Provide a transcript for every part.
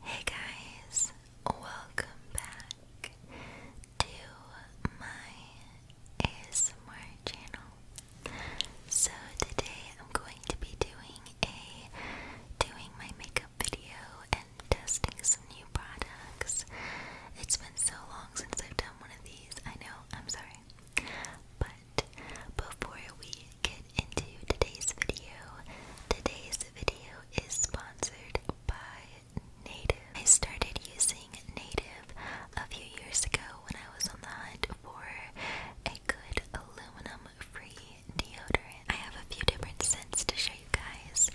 Hey guys, welcome back to my ASMR channel. So today I'm going to be doing a doing my makeup video and testing some new products. It's been so long since I've done one of these. I know, I'm sorry. But before we get into today's video. Today's video is sponsored by Native. I started using Native a few years ago when I was on the hunt for a good aluminum-free deodorant. I have a few different scents to show you guys,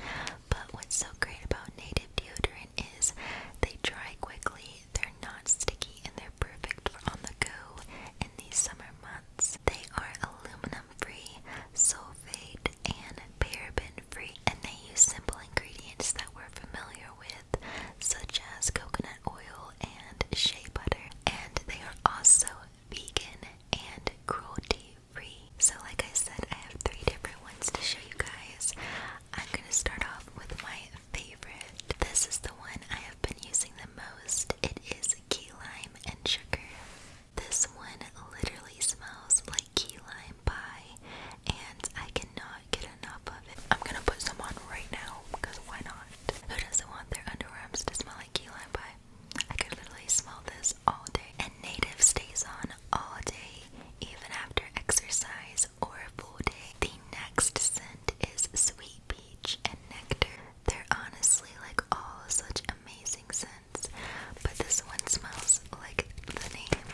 but what's so great about Native deodorant is they dry quickly, they're not sticky, and they're perfect for on the go in these summer months. They are aluminum free, sulfate, and paraben free, and they use simple ingredients that we're familiar with, such as coconut oil and shea butter. And they are also vegan and cruelty free. So, like I said, I have three different ones to show you guys. I'm gonna start off with my favorite. This is the one I have been using the most. It is key lime and sugar. This one literally smells like key lime pie, and I cannot get enough of it. I'm gonna put some on right now because why not? Who doesn't want their underarms to smell like key lime pie? I could literally smell this all day. And native stays on all day, even after exercise or a full day. The next scent is sweet peach and nectar. They're honestly like all such amazing scents but this one smells like the name.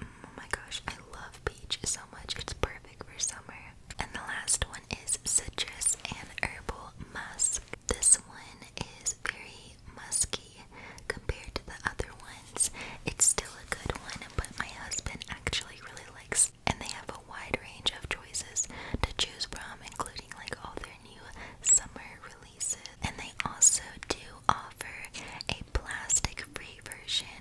Oh my gosh, I love peach so much. It's perfect for summer. And the last one is citrus and herbal musk. This one is very musky compared to the other ones. It's still a good one, but my husband actually really likes and they have a wide range of choices to choose from, including like all their new summer releases, and they also do offer a plastic-free version.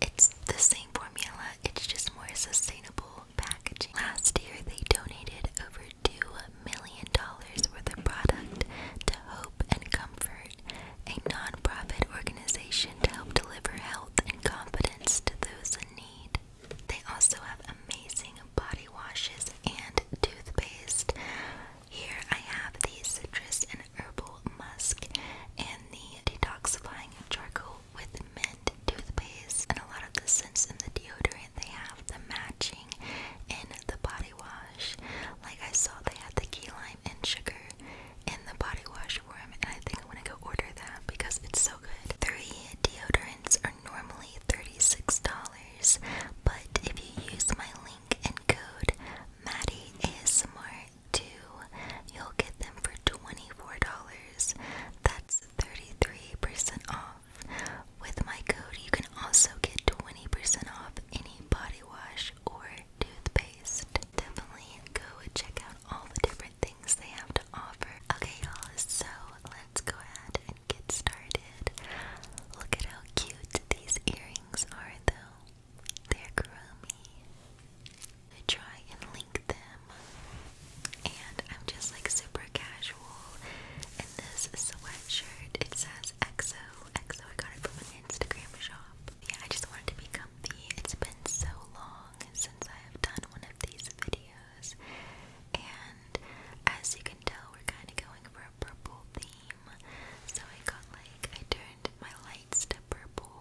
It's the same formula, it's just more sustainable packaging. Last year, they donated over two million dollars worth of product to Hope and Comfort, a non-profit organization to help deliver health and confidence to those in need. They also have amazing body washes and toothpaste. Here I have the citrus and herbal musk and the detoxifying charcoal with mint toothpaste. And a lot of the scents in the deodorant, they have the matching in the body wash. Like I saw, they had the key lime and sugar in the body wash form, and I think I'm gonna go order that because it's so Three deodorants are normally $36, but if you use my link and code Maddie ASMR 2, you'll get them for $24. That's 33% off. With my code, you can also get 20% off any body wash or toothpaste. Definitely go check out all the different things they have to offer. Okay, y'all, so let's go ahead and get started. Look at how cute these earrings are, though. They're groomy. I try and link them, and I'm just like super casual in this sweatshirt. It says EXO. EXO, I got it from an Instagram shop. Yeah, I just wanted to become the. It's been so long since I have done one of these videos. And as you can tell, we're kind of going for a purple theme. So I got like, I turned my lights to purple.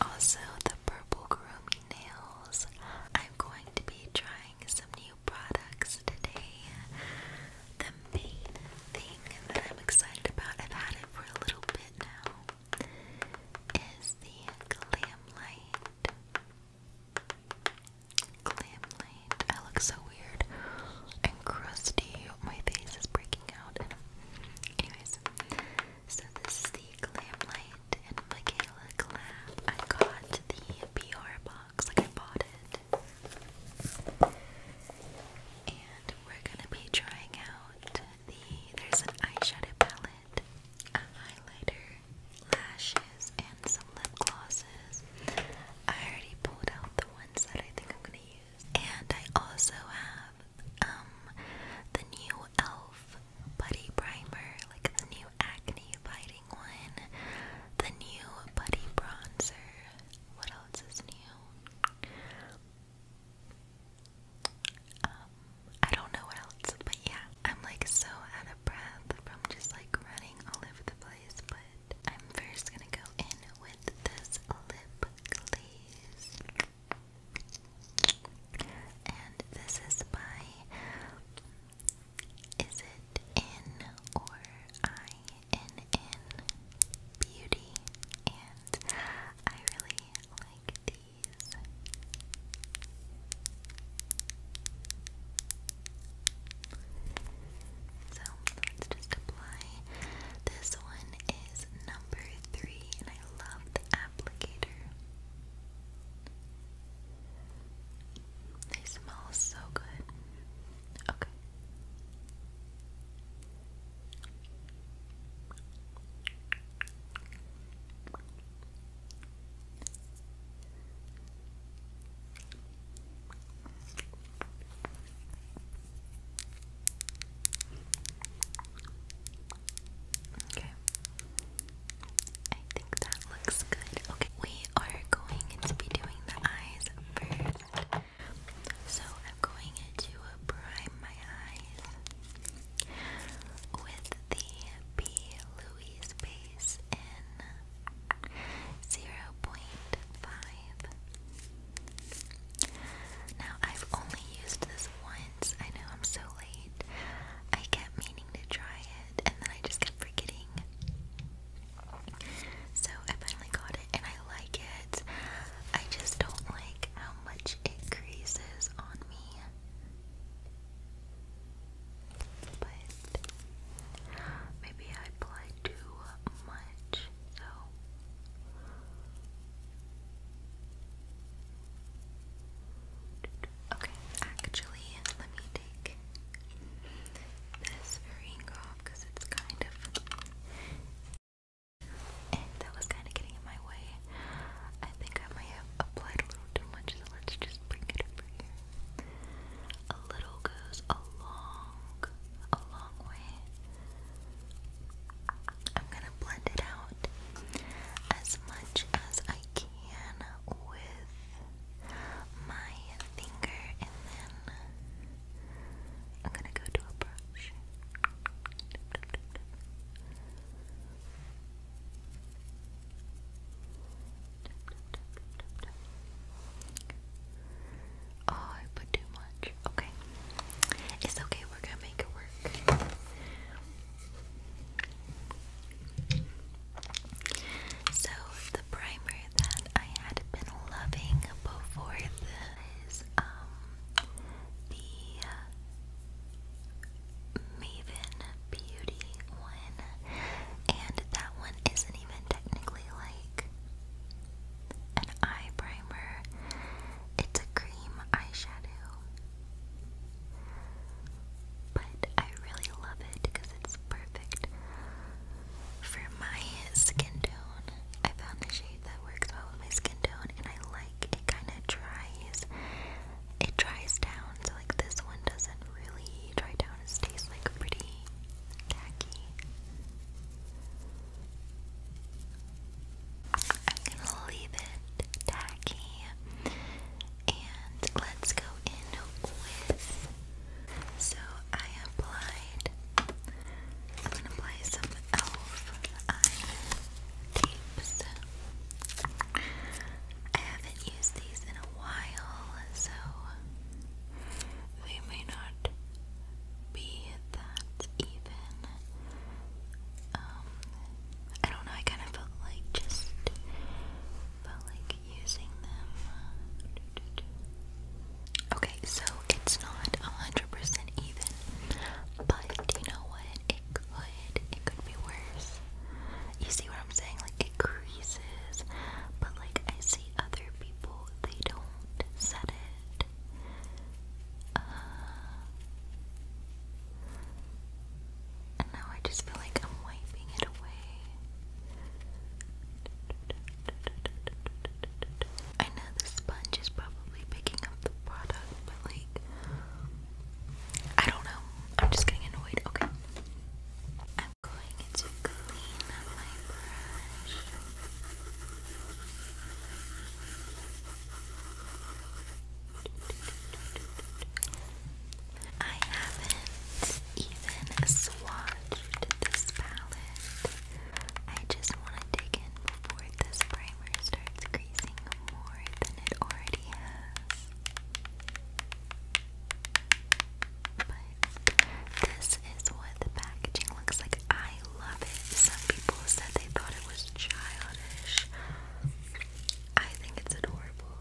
Also, the purple groomy nails. I'm going to be trying some new products today. The main thing that I'm excited about, I've had it for a little bit now, is the Glam Light. Glam night. I look so weird and crusty. My face is breaking out. anyways, so this is the glam light and Michaela Glam. I got the PR box, like I bought it. And we're gonna be trying out the. There's an eyeshadow palette, a highlighter, lashes and some lip glosses. I already pulled out the ones that I think I'm gonna use. And I also have um, the new e.l.f. Buddy Primer, like the new acne fighting one, the new Buddy Bronzer. What else is new? Um, I don't know what else, but yeah, I'm like so out of breath from just like running all over the place, but I'm first gonna go in with this lip glaze. And this is by Is it in or I beauty and I really like these. So let's just apply. This one is number three, and I love the applicator. They smell so good. Okay. Okay. I think that looks good. Okay, we are going to be doing the eyes first. So I'm going to prime my eyes with the B. Louis base in zero point five. Now I've only used this once. I know I'm so late. I kept meaning to try it, and then I just kept forgetting. So I finally got it, and I like it. I just don't like how much it creases on me but maybe I applied too much, so okay, actually let me take this very off because it's kind of that was kind of getting in my way. I think I might have applied a little too much, so let's just bring it over here. A little goes a long, a long way. I'm gonna blend it out as much as I can with my finger, and then I'm gonna go to a brush. Oh, I put too much. Okay. It's okay, we're gonna make it work. So, the primer that I had been loving before this is um, the uh, Maven beauty one, and that one isn't even technically like an eye primer, it's a cream eyeshadow. But I really love it because it's perfect for my skin tone. I found the shade that works well with my skin tone, and I like it kind of dries. It dries down so like this one doesn't really dry down, it stays like pretty tacky. I'm gonna leave it tacky and let's go in with so I applied I'm gonna apply some elf eye tapes. I haven't used these in a while, so they may not be that even. Um, I don't know, I kind of felt like just felt like using them. Okay, so it's not 100% even, but you know what? It could, it could be worse. You see what I'm saying? Like, it creases but like I see other people, they don't set it. Uh, and now I just feel like I'm wiping it away. I know the sponge is probably picking up the product, but like, I don't know. I'm just getting annoyed. Okay. I'm going to clean up my brush. haven't even swatched this palette. I just want to dig in before this primer starts creasing more than it already has. But this is what the packaging looks like. I love it. Some people said they thought it was childish. I think it's adorable.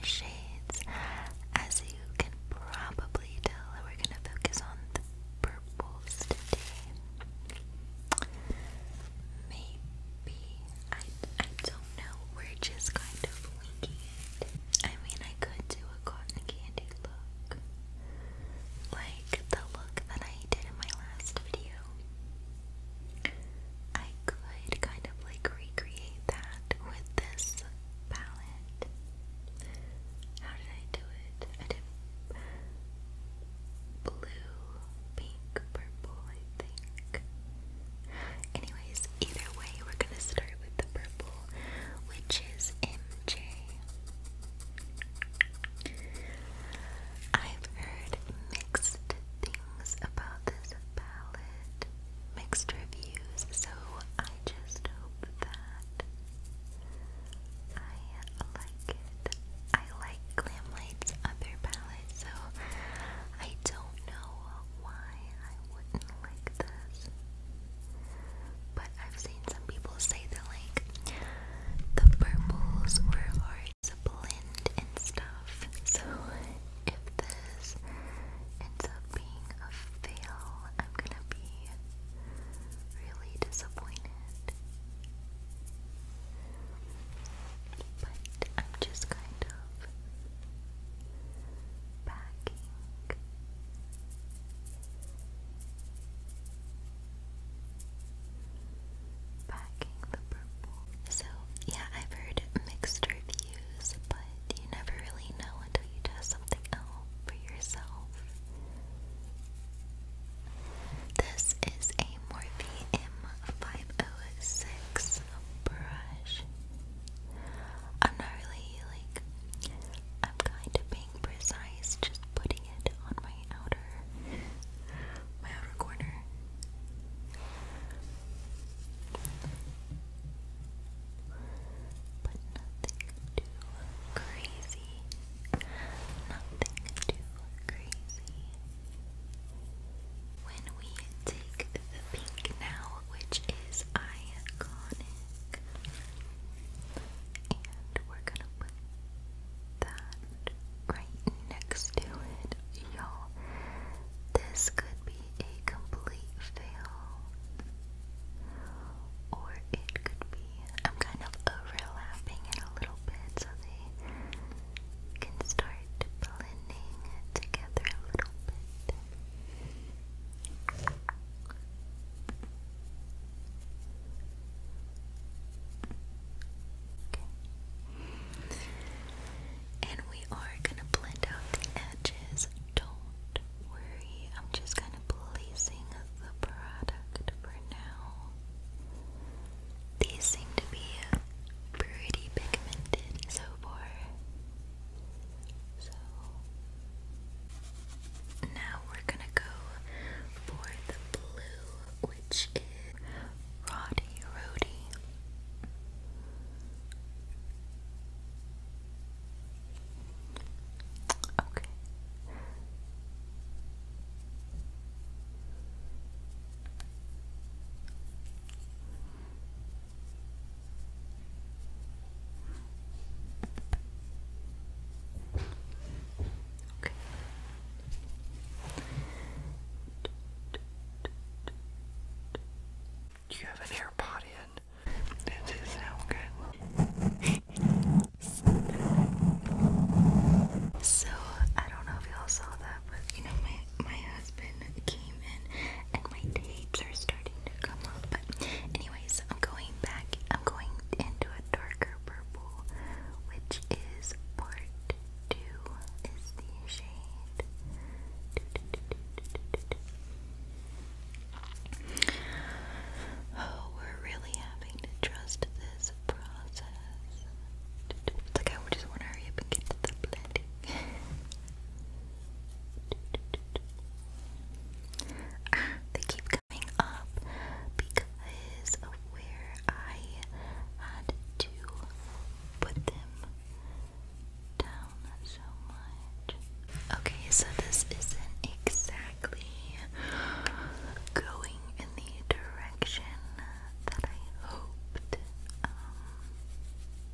the shades, as you can probably tell, we're going to focus on the purples today. Maybe. I, I don't know. We're just kind of linking I mean, I could do a cotton candy look. Like the look that I did in my last video. I could kind of like recreate that with this palette. How did I do it? I did blue pink, purple, I think. Anyways, either way, we're gonna start with the purple, which is MJ. I've heard mixed things about this palette, mixed reviews, so I just hope that I like it. I like Glam Light's other palette, so I don't know why I wouldn't like this, but I've seen some people say that like the purples were hard to blend and stuff. So if this ends up being a fail, I'm gonna be really disappointed. But I'm just kind of of So, yeah, I've heard mixed reviews, but you never really know until you test something out for yourself. This is a Morphe M506 a brush. I'm not really like, I'm kind of being precise, just putting it on my outer, my outer corner. But nothing too crazy. Nothing too crazy. When we take the pink now, which is iconic, and we're gonna put that right next to it, y'all. This could be a complete fail, or it could be. I'm kind of overlapping it a little bit so they can start and we are going to blend out the edges. Don't worry, I'm just kind of placing the product for now. These seem to be pretty pigmented so far. So now we're gonna go for the blue, which is Roddy Rody. Okay. Okay. Do you have an AirPod in? Does it sound good? so I don't know if y'all saw that, but you know my my husband came in and my tapes are starting to come up. But anyways, I'm going back. I'm going into a darker purple, which is part two is the shade. Oh, we're really having to trust this process. Like I just want to hurry up and get to the blending they keep coming up because of where I had to put them down so much. Okay, so this isn't exactly going in the direction that I hoped, um,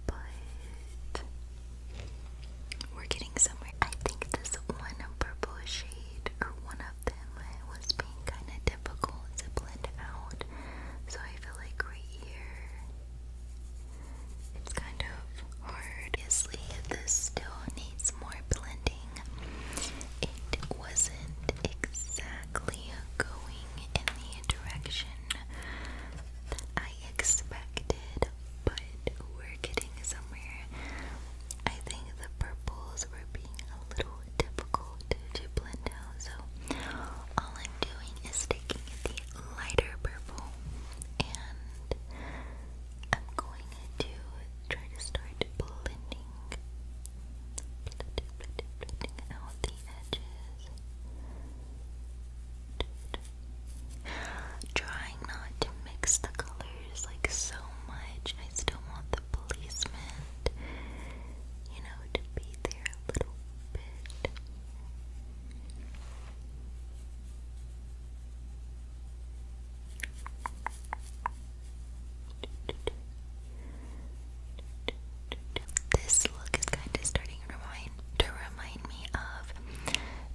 but we're getting somewhere. I think this one purple shade, or one of them, was being kind of difficult to blend out, so I feel like right here, it's kind of hard. Obviously, this still needs more blending. It wasn't exactly going in the direction I expected, but we're getting somewhere. I think the purples were being a little typical to blend out, so all I'm doing is taking the lighter purple and I'm going to try to start blending, blending, blending, blending out the edges. Trying not to mix the colors like so much. I still want the policeman, you know, to be there a little bit. This look is kind of starting to remind, to remind me of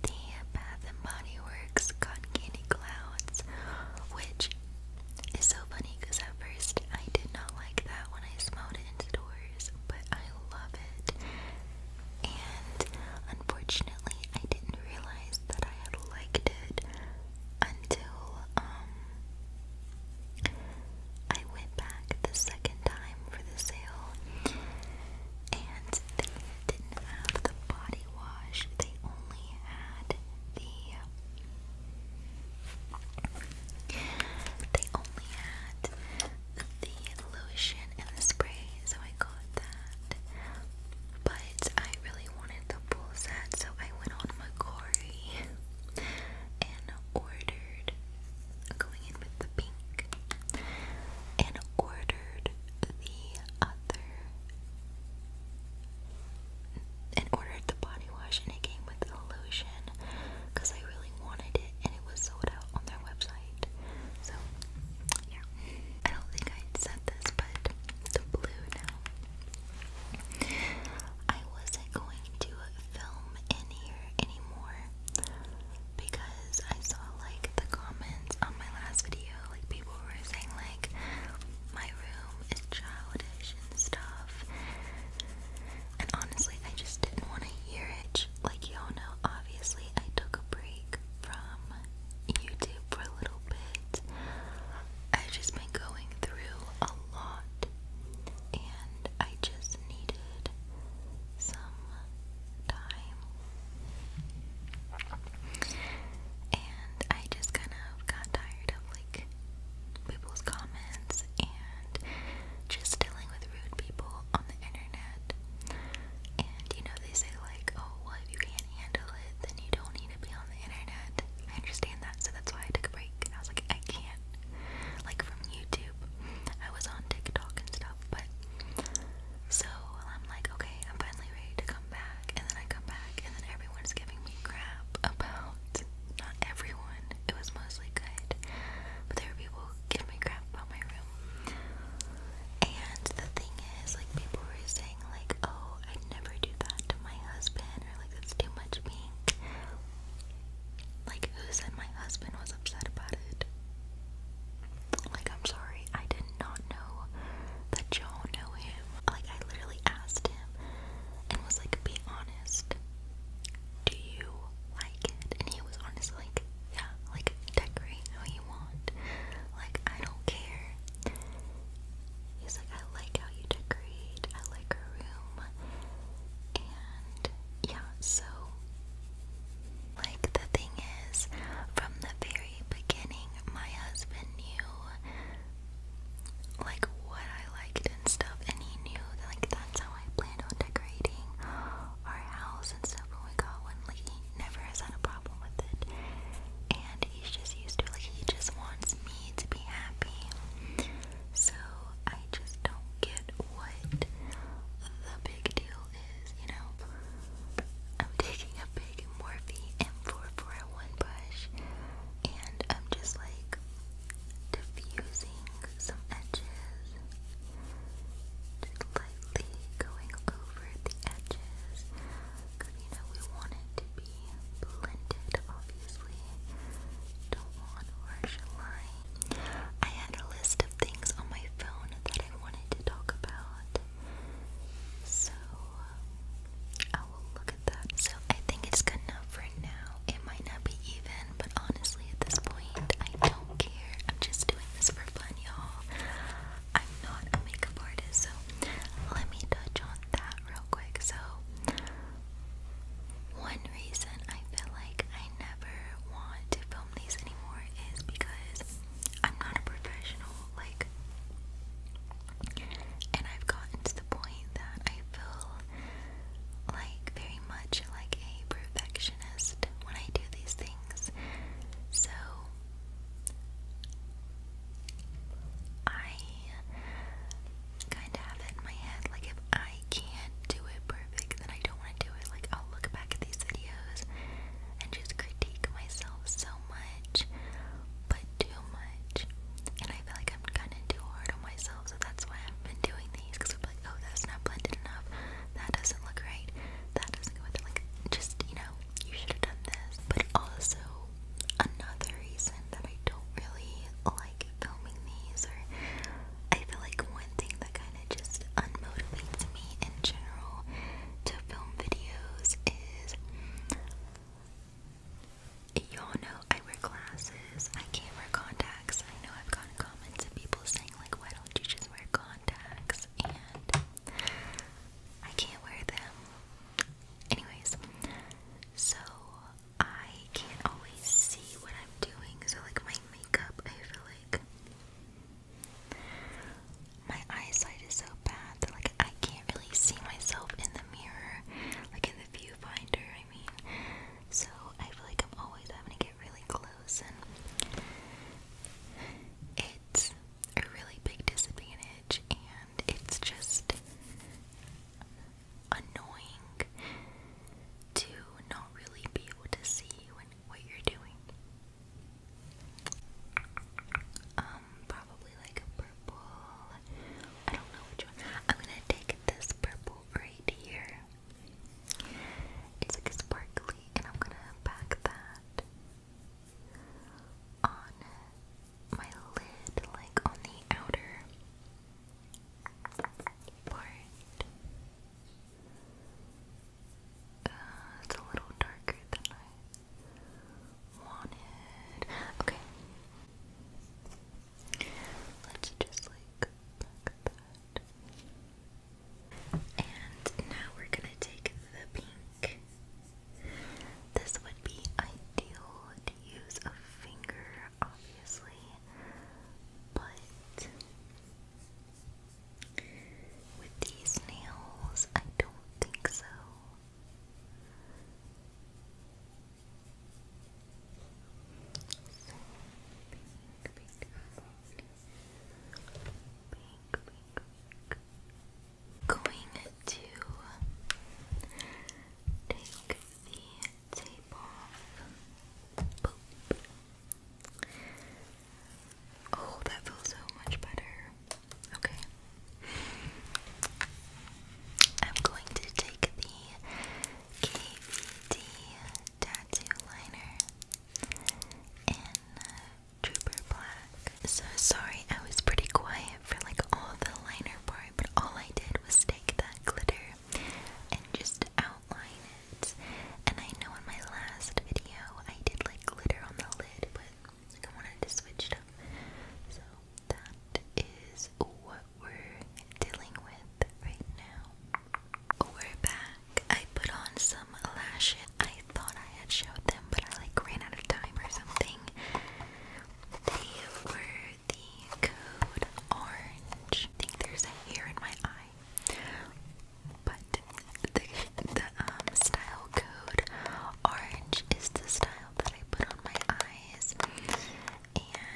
the Bath and Body Works Cotton Candy Clouds, which is so funny because at first I did not like that when I smelled it indoors, but I love it. And unfortunately, I didn't realize that I had liked it until um I went back the second time for the sale and they didn't have the body wash, they only had the they only had the lotion and the spray, so I got that. But I really wanted the full set, so I went on Macori and ordered going in with the pink and ordered the other and ordered the body wash and it came with a lotion because I really wanted it and it was sold out on their website. So yeah. I don't think I said this but the blue now I wasn't going to film in here anymore because I saw like the comments on my last video, like people were saying like my room is childish and stuff. And honestly, I just didn't want to hear it. Like y'all know, obviously I took a break from YouTube for a little bit. I've just been going through a lot and I just needed some time. And I just kind of got tired of like people's comments and just dealing with rude people on the internet. And you know, they say, like, oh, well, if you can't handle it, then you don't need to be on the internet. I understand that, so that's why I took a break. I was like, I can't. Like, from YouTube YouTube. I was on TikTok and stuff, but so I'm like, okay, I'm finally ready to come back, and then I come back, and then everyone's giving me crap about not everyone. It was mostly good, but there were people who give me crap about my room. And the thing is, like, people were saying, like, oh, I'd never do that to my husband, or like, that's too much pink. Like, who said my husband was upset about it? Like, I'm sorry, I did not know that y'all know him. Like, I literally asked him and was like, be honest, do you like it? And he was honest, like, yeah, like, decorate how you want. Like, I don't care. He's like, I like how you decorate, I like her room. And yeah, so like, the thing is, from the very beginning, my husband knew, like, what I liked and stuff, and he knew, like, that's how I planned on decorating our house and stuff when we got one. Like, he never has had a problem with it, and he's just used to it. Like, he just wants me to be happy. So, I just don't get what the big deal is, you know? I'm taking a big Morphe M441 brush and I'm just like diffusing some edges, just lightly going over the edges you know we want it to be blended, obviously. Don't want harsh lines. I had a list of things on my phone that I wanted to talk about. So I will look at that. So I think it's good enough for now. It might not be even, but honestly at this point I don't care. I'm just doing this for fun, y'all. I'm not a makeup artist, so let me touch on that real quick. So one reason I feel like never want to film these anymore is because I'm not a professional, like, and I've gotten to the point that I feel like very much like a perfectionist when I do these things. So, I kind of have it in my head like if I I can't do it perfect, and I don't want to do it. Like, I'll look back at these videos and just critique myself so much, but too much. And I feel like I'm kind of too hard on myself, so that's why I've been doing these because I'm like, oh, that's not blended enough. That doesn't look right. That doesn't go with it. Like, just, you know, you should have done this. But also, another reason that I don't really like filming these, or I feel like one thing that kind kind just unmotivates me in general to film videos is y'all know I wear glasses, I can't wear contacts. I know I've gotten comments of people saying like why don't you just wear contacts and I can't wear them. Anyways, so I can't always see what I'm doing, so like my makeup I feel like my eyesight is so bad like I can't really see myself in the mirror, like in the viewfinder, I mean. So I feel like I'm always having to get really close and it's a really big disadvantage and it's just annoying to not really be able to see when what you're doing. Um, probably like a purple. I don't know which one. I'm gonna take this purple right here. It's like a sparkly, and I'm gonna pack that on my lid, like on the outer part. Uh, it's a little darker than I wanted. Okay. Let's just like pack that. And now we're gonna take the pink. This would be ideal to use a finger, obviously, but with these nails, I don't think so. Going to take the tape off. Oh, that feels so much better. Okay. I'm going to take the KVD tattoo liner in uh, Trooper Black. So sorry, I was pretty quiet for like all the liner part, but all I did was take that glitter and just outline it. And I know in my last video I did like glitter on the lid, but I wanted to switch it up. So that is what we're dealing with right now. We're back. I put on some lashes. I thought I had showed them, but I like ran out of time or something. They were the code orange. I think there's a hair in my eye. But the the um style code orange is the style that I put on my eyes, and um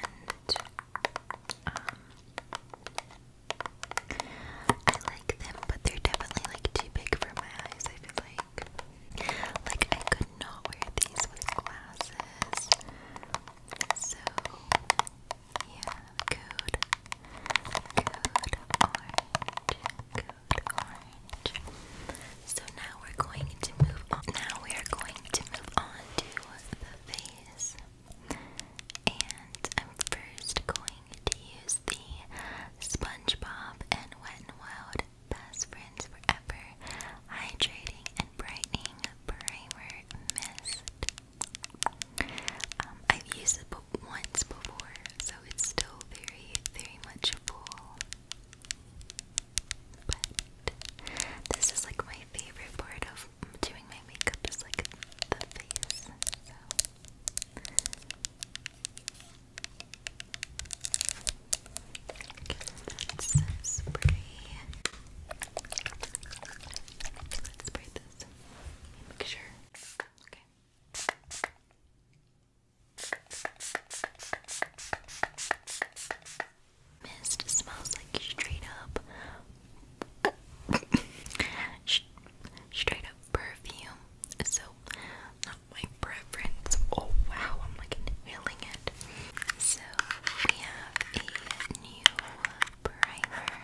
I like them, but they're definitely like too big for my eyes. I feel like like I could not wear these with glasses, so yeah, code. Code orange. Code orange. So now we're going to move on. Now we are going to move on to the face. And I'm first going to use the SpongeBob and Wet n Wild Best Friends Forever Hydrating and Brightening Primer Mist. Um, I've used it once before, so it's still very, very much full. But this is like my favorite part of doing my makeup is like the face. Okay, that's a spray. Let's spray this. Picture. Okay. Mist smells like straight up straight up perfume. So not my preference. Oh wow, I'm like inhaling it. So we have a new primer.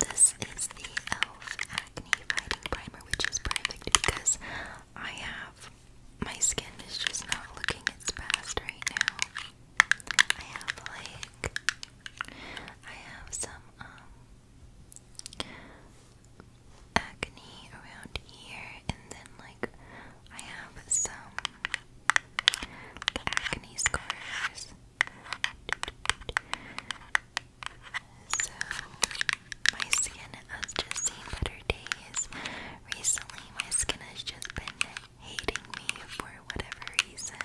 This is the e.l.f. Acne Fighting Primer, which is perfect because I have my skin is just not looking its best right now. I have like I have some um acne around here and then like I have some acne scars so, my skin has just seen better days. Recently, my skin has just been hating me for whatever reason.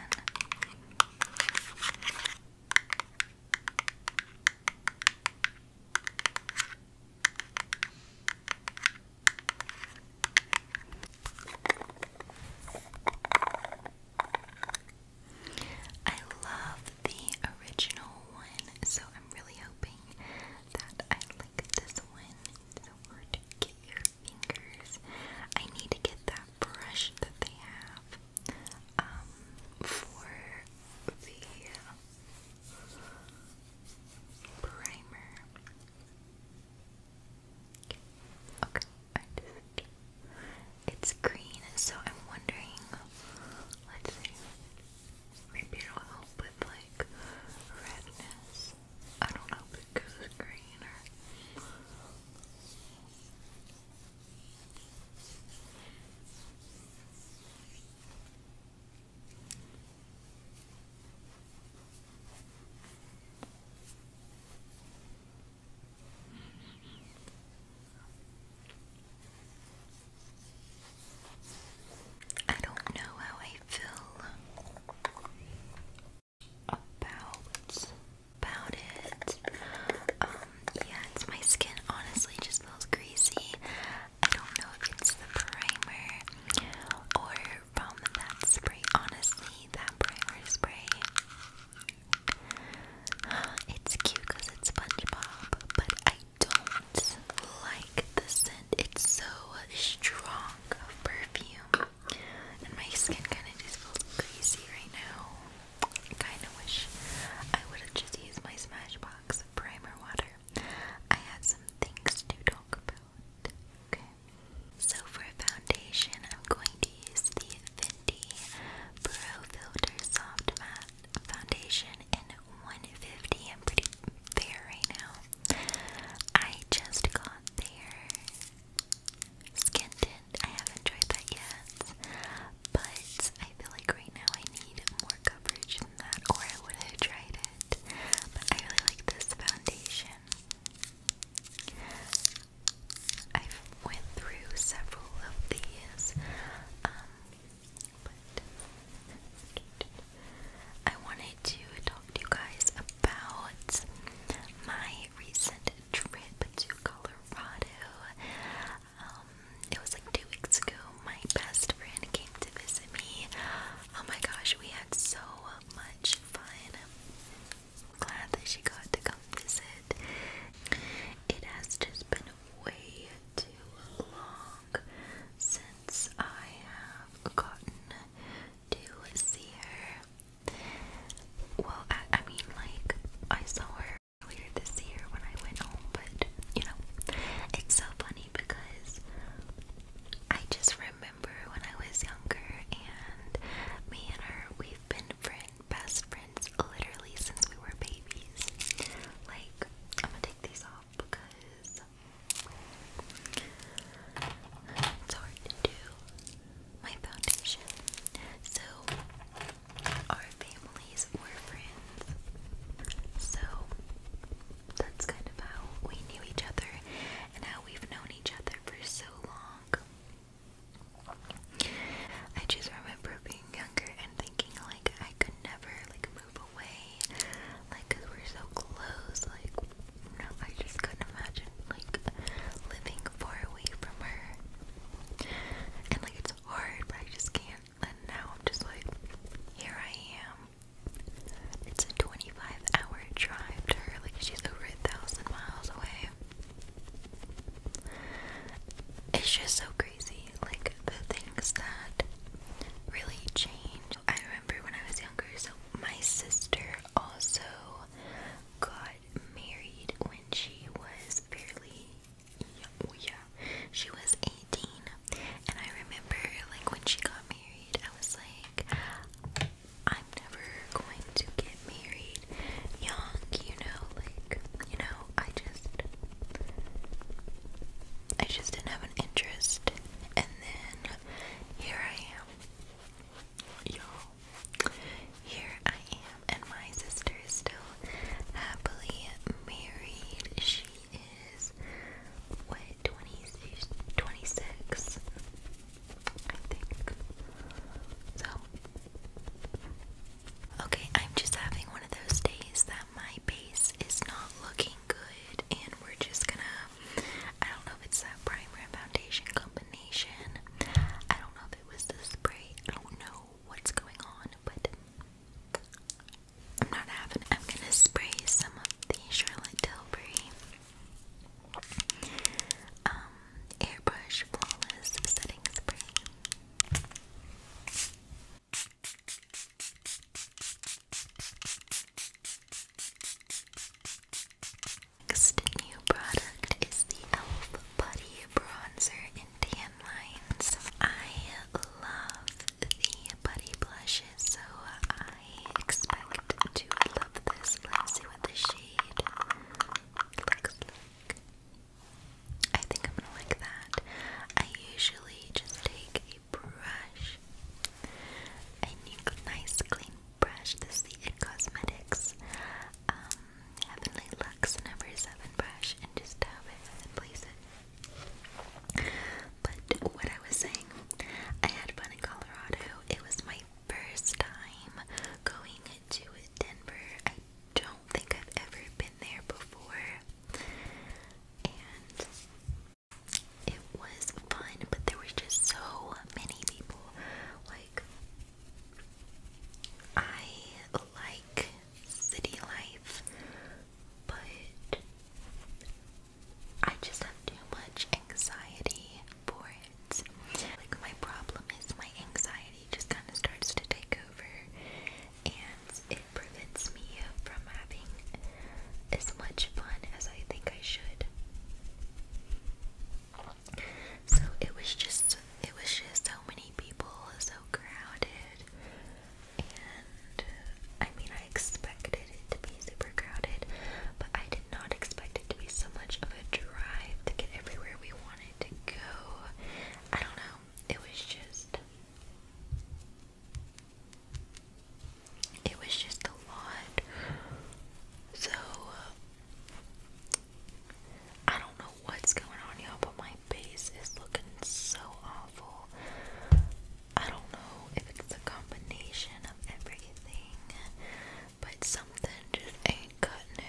I love the original one, so I'm really hoping that I like this one. It's so hard to get your fingers. I need to get that brush that they have um, for the primer. Okay, I it's green, so I'm wondering let's see. Maybe it'll help with like redness. I don't know if it green I don't know how I feel about about it. Um, yeah, it's my skin honestly just feels greasy. I don't know if it's the primer or from that spray. Honestly, that primer spray It's cute because it's SpongeBob, but I don't like the scent. It's so strong of perfume, and my skin kind of just feels crazy right now. I kind of wish I would have just used my Smashbox primer water. I had some things to talk about. Okay. So for foundation, I'm going to use the Fenty Pro Filter Soft Matte Foundation in 150. I'm pretty fair right now. I just got their skin tint. I haven't tried that yet, but I feel like right now I need more coverage than that, or I would have tried it. But I really like this foundation. I've went through several of these, um, but I wanted to talk to you guys about my recent trip to Colorado. Um, it was like two weeks ago. My best friend came to visit me. Oh my gosh, we had so much fun. I'm glad that she got to come visit. It has just been way too long since I have gotten to see her. Well, I, I mean, like, I saw her earlier this year when I went home, but you know, it's so funny because I just remember when I was younger and me and her, we've been friends best friends literally since we were babies. Like, I'm gonna take these off because it's hard to do my foundation. So, our families were friends. So, that's kind of how we knew each other and how we've known each other for so long. I just remember being younger and thinking like I could never like move away, like cause we're so close. Like no, I just couldn't imagine like living far away from her. And like it's hard, but I just can't. And now I'm just like, here I am. It's a 25 hour drive to her, like she's over a thousand miles away. It's just so crazy, like the things that really change. I remember when I was younger, so my sister also got married when she was barely, Yeah, she was 18, and I remember like when she got married, I was like, I'm never going to get married young, you know, like, you know, I just I just didn't have an interest and then here I am. Y'all here I am and my sister is still happily married. She is what 26 26 I okay, I'm just having one of those days that my base is not looking good, and we're just gonna. I don't know if it's that primer foundation combination. I don't know if it was the spray. I don't know what's going on, but I'm not having. I'm gonna spray some of the Charlotte Tilbury. Um, Airbrush Flawless Setting Spray. Next new product is the e.l.f. Putty Bronzer in Tan Lines. I love the putty blushes, so I expect to love this. Let's the shade I think I'm gonna like that. I usually just take a brush, a nice clean brush. the It Cosmetics um, Heavenly Luxe number 7 brush, and just dab it and place it. But what I was saying, I had fun in Colorado. It was my first time going to Denver. I don't think I've ever been there before. And it was fun, but there were just so many people. Like, I like city life, but I just have too much anxiety for like my problem is my anxiety just kind of starts to take over and it prevents me from having as much fun as I think I should. So it was just it was just so many people, so crowded. And I mean, I expected it to be super crowded, but I did not expect it to be so much of a drive to get everywhere we wanted to go. I don't know. It was just it was just a lot. So I don't know what's going on y'all, but my face is looking so awful. I don't know if it's a combination of everything but something just ain't cutting it.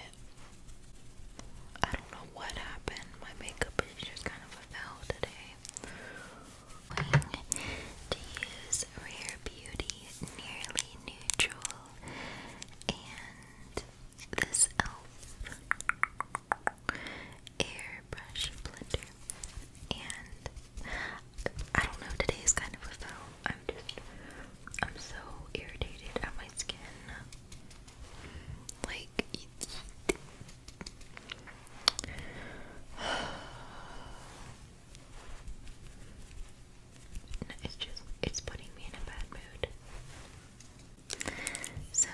I don't know what happened. My makeup is just kind of a fail today. to use Rare Beauty Nearly Neutral and this e.l.f. airbrush blender. And I don't know, today is kind of a fail. I'm just, I'm so irritated at my skin. Like, no, it's just, it's putting me in a bad mood. So.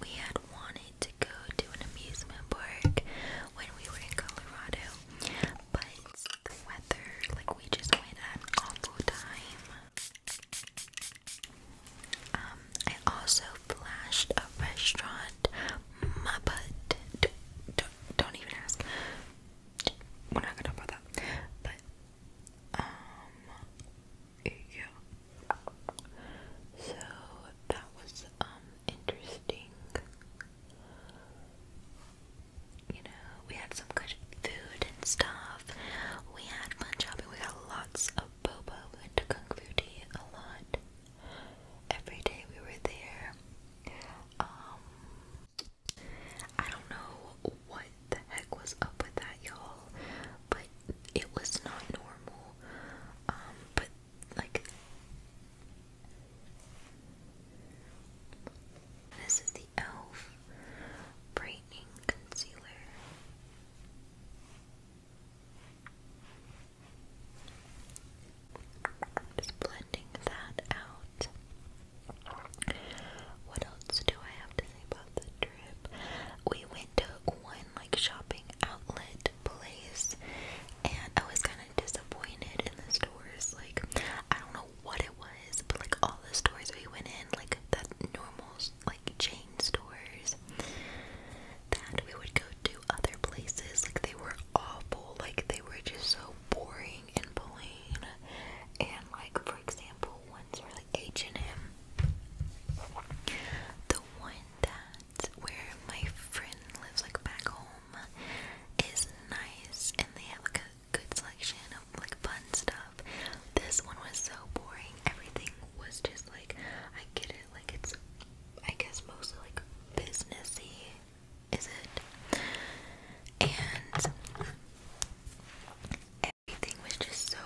We had wanted to go to an amusement park when we were in Colorado, but the weather, like we just went at an awful time. Um, I also flashed a restaurant, Muppet. D don't even ask. We're not gonna talk about that. But, um, yeah. So that was um interesting. You know, we had some good food and stuff. We had fun shopping. We got lots of boba. We went to Kung Fu Tea a lot. Every day we were there. Um, I don't know what the heck was up with that, y'all, but it was not normal. Um, but like this is the e.l.f. Brightening Concealer. Just blending that out. What else do I have to say about the trip? We went to one like shopping outlet place, and I was kind kind of disappointed in the stores. Like, I don't know what it was, but like all the stores we went in, like the normal like chain stores that we would go to other places, like they were awful. Like they were just so boring and plain. And like for example, ones were like H and M. The one that where my friend lives like back home home is nice and they have like a good selection of like fun stuff. This one was so boring. Everything was just like I get it, like it's I guess mostly like businessy, is it? And everything was just so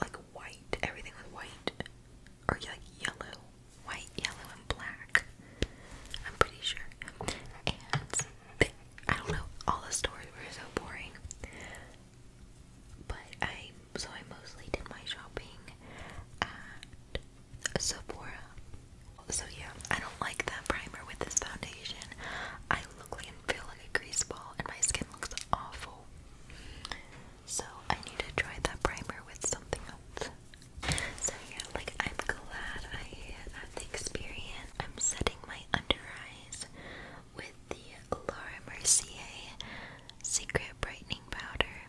like white. Everything was white or like yellow white, yellow, and black. I'm pretty sure. And I don't know, all the stores were so boring. But I, so I mostly did my shopping at Sephora. So yeah, I don't like that primer with this foundation. I look like and feel like a grease ball, and my skin looks awful. So I need to try that primer with something else. So yeah, like I'm glad I had the experience. I'm setting my under eyes with the Laura Mercier Secret Brightening Powder.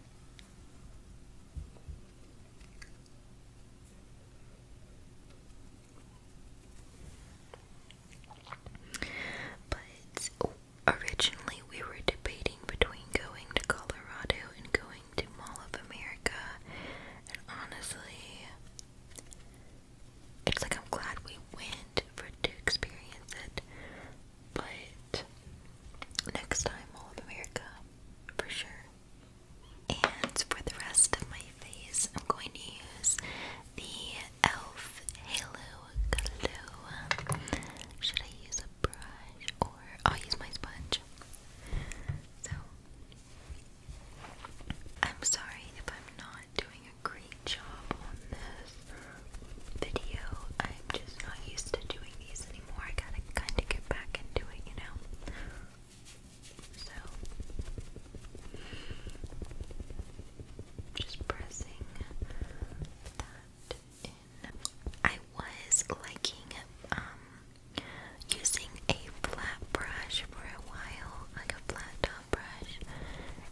But originally we were debating between going to Colorado and going to Mall of America and honestly, it's like I'm glad we went for to experience it. But next time, all of America, for sure. And for the rest of my face, I'm going to use the e.l.f. Halo Glow. Should I use a brush or I'll use my sponge? So I'm sorry if I'm not doing a great job on this video. I'm just not used to doing these anymore. I gotta kinda get back into it, you know? So, just pressing that I was liking um using a flat brush for a while, like a flat top brush,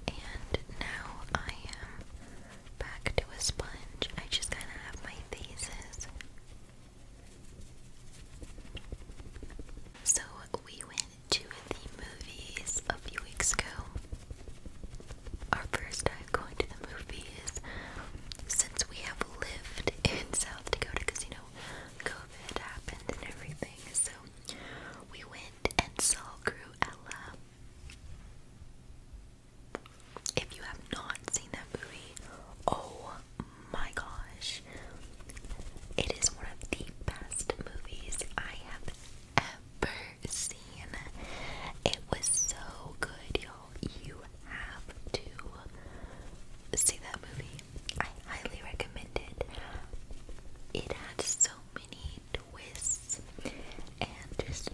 and now I am back to a sponge. I just kind of have my phases. So we went to the movies a few weeks ago. Our first time going to the movies since we have lived in South Dakota because COVID happened and everything. So we went and saw Cruella. If you have not seen that movie, oh my gosh. It is one of the best movies I have ever seen. It was so good, y'all. You have to see that movie. I highly recommend it. It had so many twists and just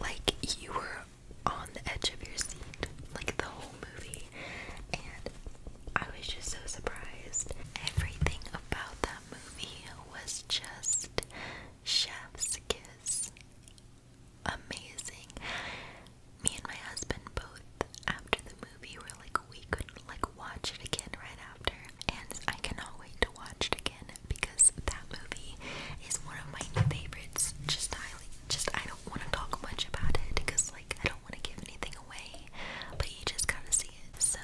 like you were on the edge of your seat, like the whole movie. And I was just so surprised. Everything about that movie was just chef's kiss amazing. Me and my husband both after the movie were like we couldn't like watch it again right after and I cannot wait to watch it again because that movie is one of my favorites. Just highly just I don't want to talk much about it because like I don't want to give anything away but you just gotta see it. So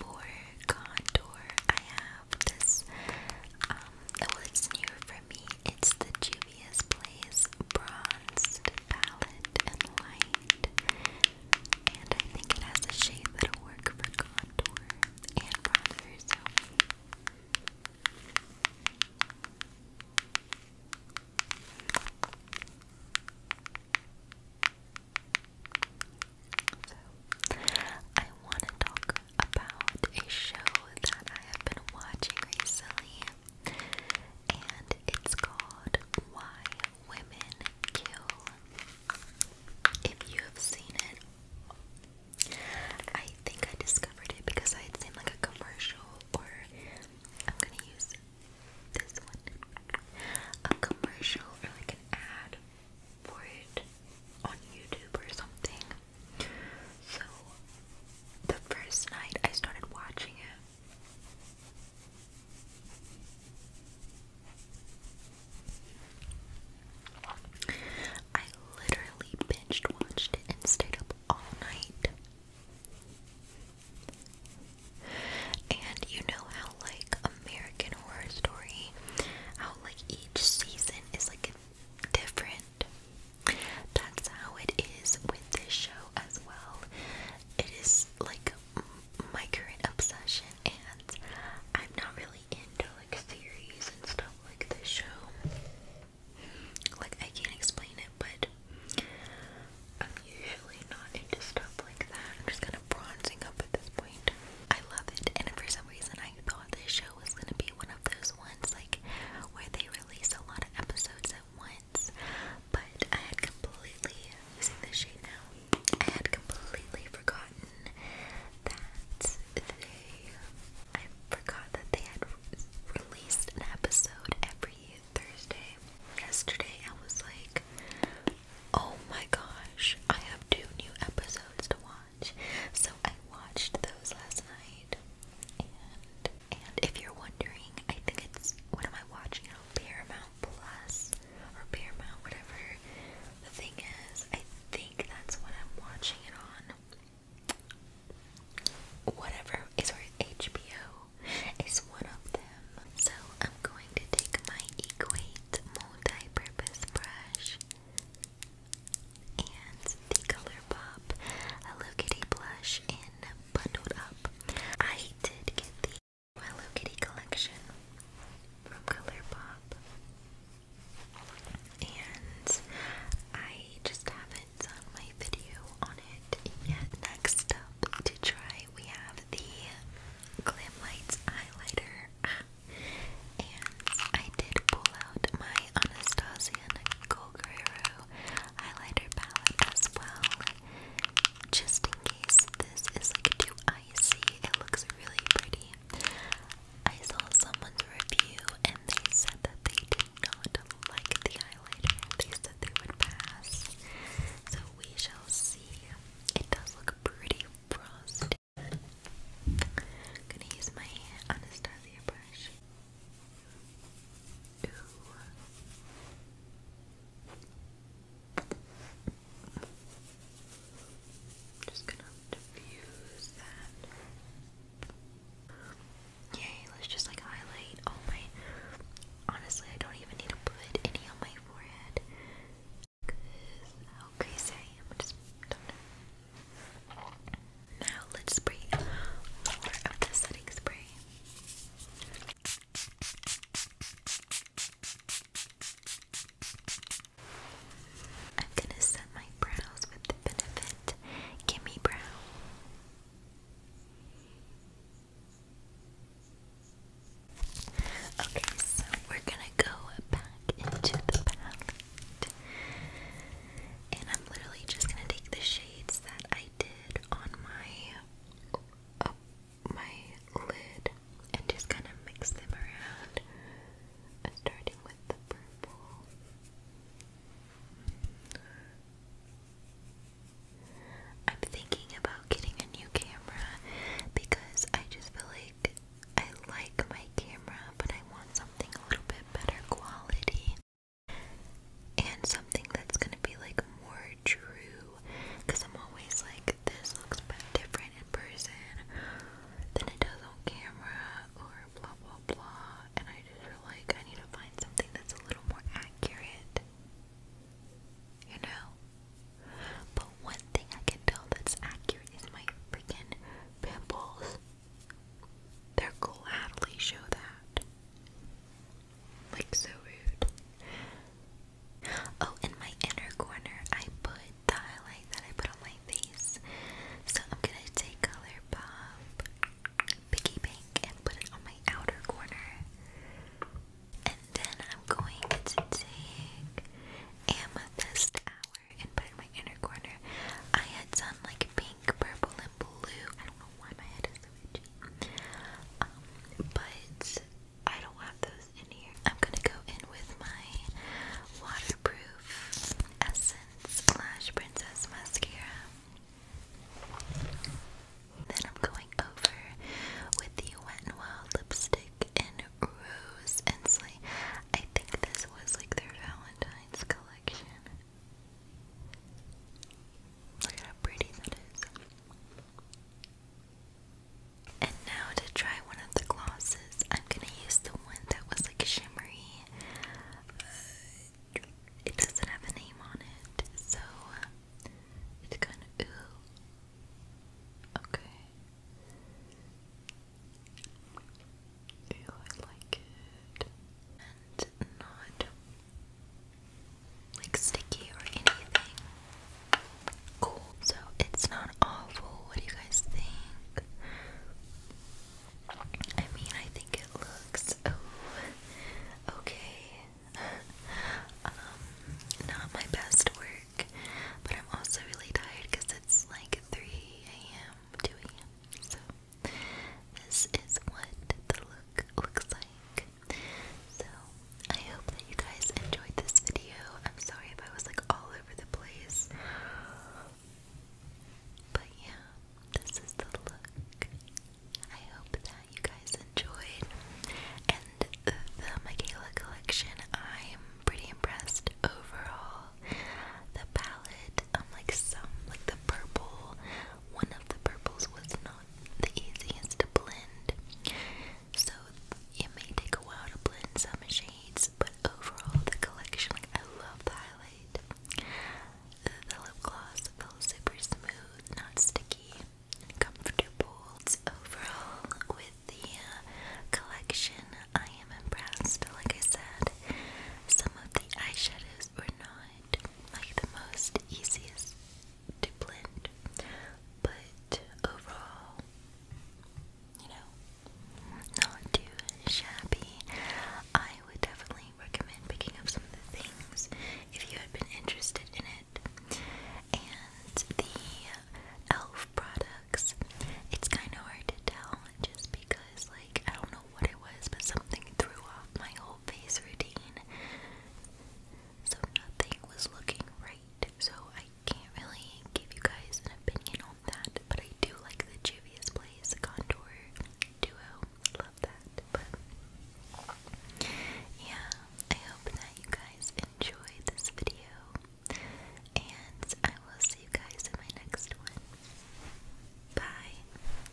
for contour I have this um well it's newer for me it's the Juvia's Place Bronzed Palette and Light. And I think it has a shade that'll work for contour and bronzer, So, I want to talk about a show that I have been watching recently and it's called Why Women Kill. If you have seen it, I think I discovered it because I had seen like a commercial, or I'm gonna use this one a commercial or like an ad for it on YouTube or something. So the first night I started watching it. I literally binged watched it and stayed up all night. And you know how like American Horror Story, how like each season is like different that's how it is with this show as well. It is like my current obsession, and I'm not really into like theories and stuff like this show. Like, I can't explain it, but I'm usually not into stuff like that. I'm just kind of bronzing up at this point. I love it, and for some reason, I thought this show was gonna be one of those ones like where they release a lot of episodes at once but I had completely using this shade now. I had completely forgotten that they. I forgot that they had released an episode every Thursday. Yesterday, I was like, "Oh my gosh, I have two new episodes to watch." So I watched those last night, and if you're wondering, I think it's what am I watching on Paramount Plus or Paramount, whatever. The thing is, I think that's what I'm watching it on. Whatever is eh, where HBO is one of them. So I'm going to take my Equate multi-purpose brush and the Colourpop Hello Kitty blush in bundled up. I did get the Hello Kitty collection from Colourpop, and I just haven't done my video on it yet. Next up to try, we have the Glam highlighter, ah. and I did pull out my Anastasia Cool highlighter palette as well. Just in case this is too icy, it looks really pretty. I saw someone's review and they said that they did not like the highlighter. They said they would pass. So we shall see. It does look pretty frosty. gonna use my Anastasia brush. I'm just gonna diffuse that. Yay, let's just like highlight all my. Honestly, I don't even need to put any on my forehead. Cause how crazy I am. just don't know. Now let's spray more of the setting spray. I'm gonna set my brows with the benefit give brow. Okay, so we're gonna go back into the palette. And I'm literally just gonna take the shades that I I did on my my lid and just kind of mix them around, uh, starting with the purple. I'm thinking about getting a new camera because I just feel like I like my camera, but I want something a little bit better quality and something that's gonna be like more true because I'm always like this looks different in person than it does on camera or blah blah blah and I just feel like I need to find something that's a little more accurate you know but one thing I can tell that's accurate is my freaking pimples they're gladly show that like, so rude. Oh, in my inner corner, I put the highlight that I put on my face. So I'm gonna take Color Pop Piggy Bank and put it on my outer corner. And then I'm going to take Amethyst Hour and put it in my inner corner. I had some like pink, purple, and blue. I don't know why my head is um, but I don't have those in here. I'm gonna go in with my waterproof Essence Slash Princess Mascara. Then I'm going over with the Wet n Wild lipstick in Rose Ensley. I think this was like their Valentine's collection. Look how pretty that is. And now to try one of the glosses, I'm gonna use the one that was like shimmery. Uh, it doesn't have a name on it, so it's kind of ooh. Okay. I like it not like sticky or anything. Cool. So it's not awful. What do you guys think? I mean, I think it looks oh, okay. um, not my best work, but I'm also really tired because it's like 3 a.m., 2 a.m. So this is what the look looks like. So I hope that you guys enjoyed this video. I'm sorry if I was like all over the place. But yeah, this is the look. I hope that you guys enjoyed. And the, the collection, I'm pretty impressed overall. The palette, um, like some, like the purple, one of the purples was not the easiest to blend. So it may take a while to blend some shades, but overall the collection, like I love the highlight. The lip gloss feels super smooth, not sticky, and comfortable. So overall, with the uh, collection, I am impressed. Like I said, some of the eyeshadows were not like the most easiest to blend, but overall, you know, not too shabby. I would definitely recommend picking up some of the things if you had been interested in it. And the e.l.f. products, it's kind of hard to tell just because, like, I don't know what it was, but something threw off my whole face routine so nothing was looking right. So I can't really give you guys an opinion on that, but I do like the Juvia's Place Contour Duo. Love that. But yeah, I hope that you guys enjoyed this video, and I will see you guys in my next one. Bye.